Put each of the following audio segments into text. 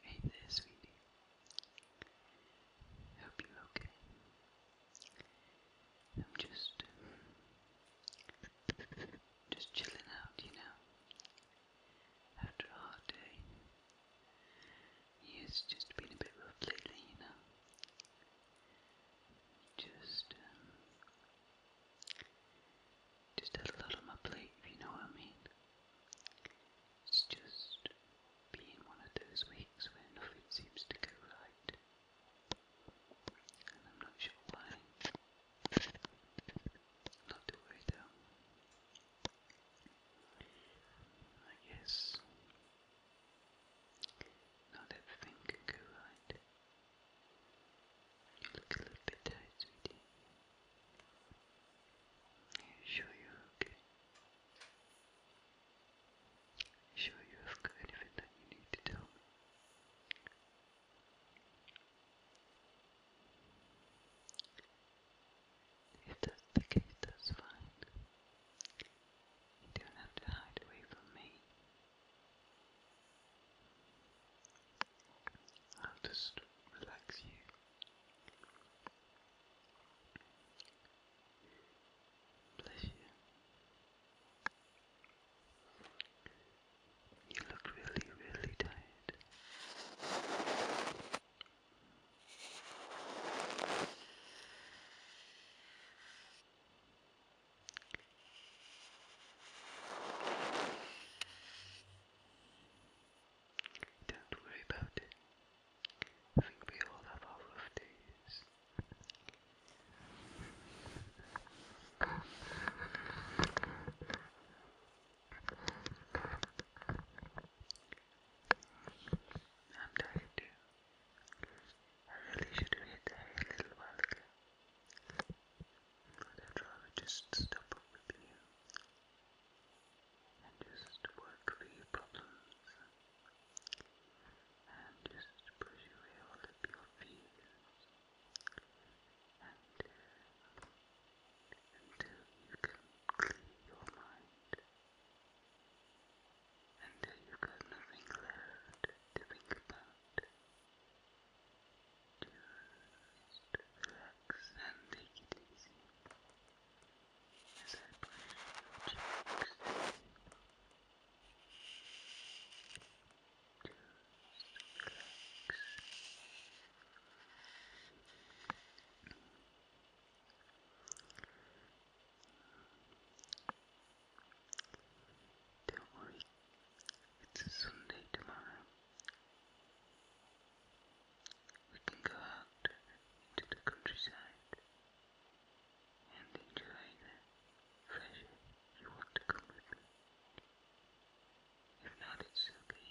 Hey there, sweetie. Hope you're okay. I'm just, just chilling out, you know. After a hard day, it's just been a bit rough lately, you know. Just um, just had a lot on my plate, if you know what I mean. It's just being one of those weeks where nothing seems to go right. And I'm not sure why. Not to worry I guess not everything can go right. You look a little bit tired, sweetie. Are you sure you're you sure that you need to tell If that's the case, that's fine. You don't have to hide away from me. I'll just relax you. Bless you. You look really, really tired. Don't worry about it. I think we all have our days. I'm tired too. I really should have hit the hay a little while ago. But I'd rather just stop up with you and just work for your problems and just push away all of your fears until you can clear your mind until you've got nothing left to think about. Just relax and take it easy as I press your cheeks. relax. Don't worry, it's a Sunday tomorrow. We can go out into the countryside and enjoy the fresh air. You want to come with me? If not, it's okay.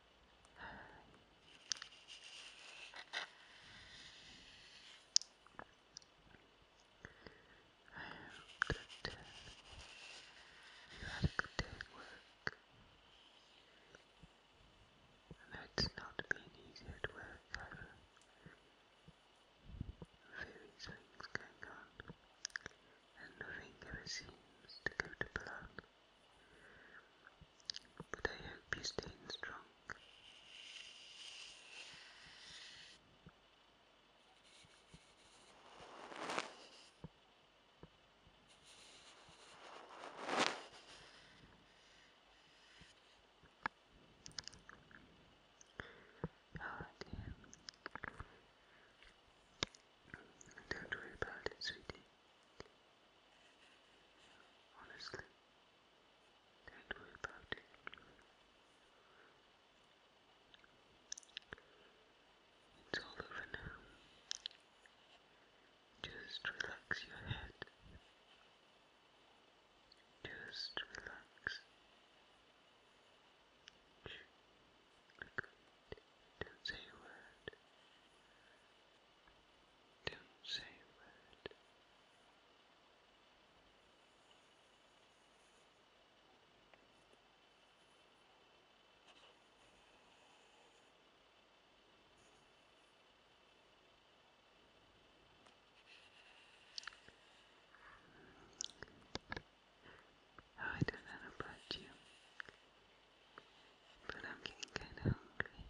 I am good. You had a good day at work. that's not been easy at work either. Various things going on, and nothing ever seems to go to plan. But I hope you're staying strong. Oh Don't worry about it, sweetie. Honestly, don't worry about it. It's all over now. Just relax your head. Just relax. Don't say a word. Don't say a word. Oh, I don't know about you, but I'm getting kind of hungry.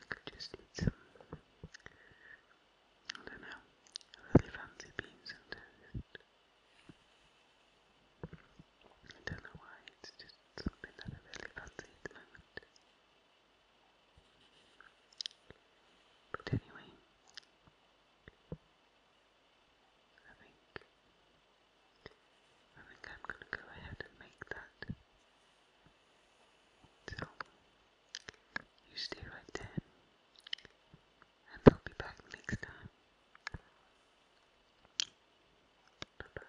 I could just eat some, I don't know, really fancy beans and toast. I don't know why, it's just something that I really fancy at the moment. But anyway, I think I am gonna go ahead and make that. So you stay right there and I'll be back next time. Bye bye.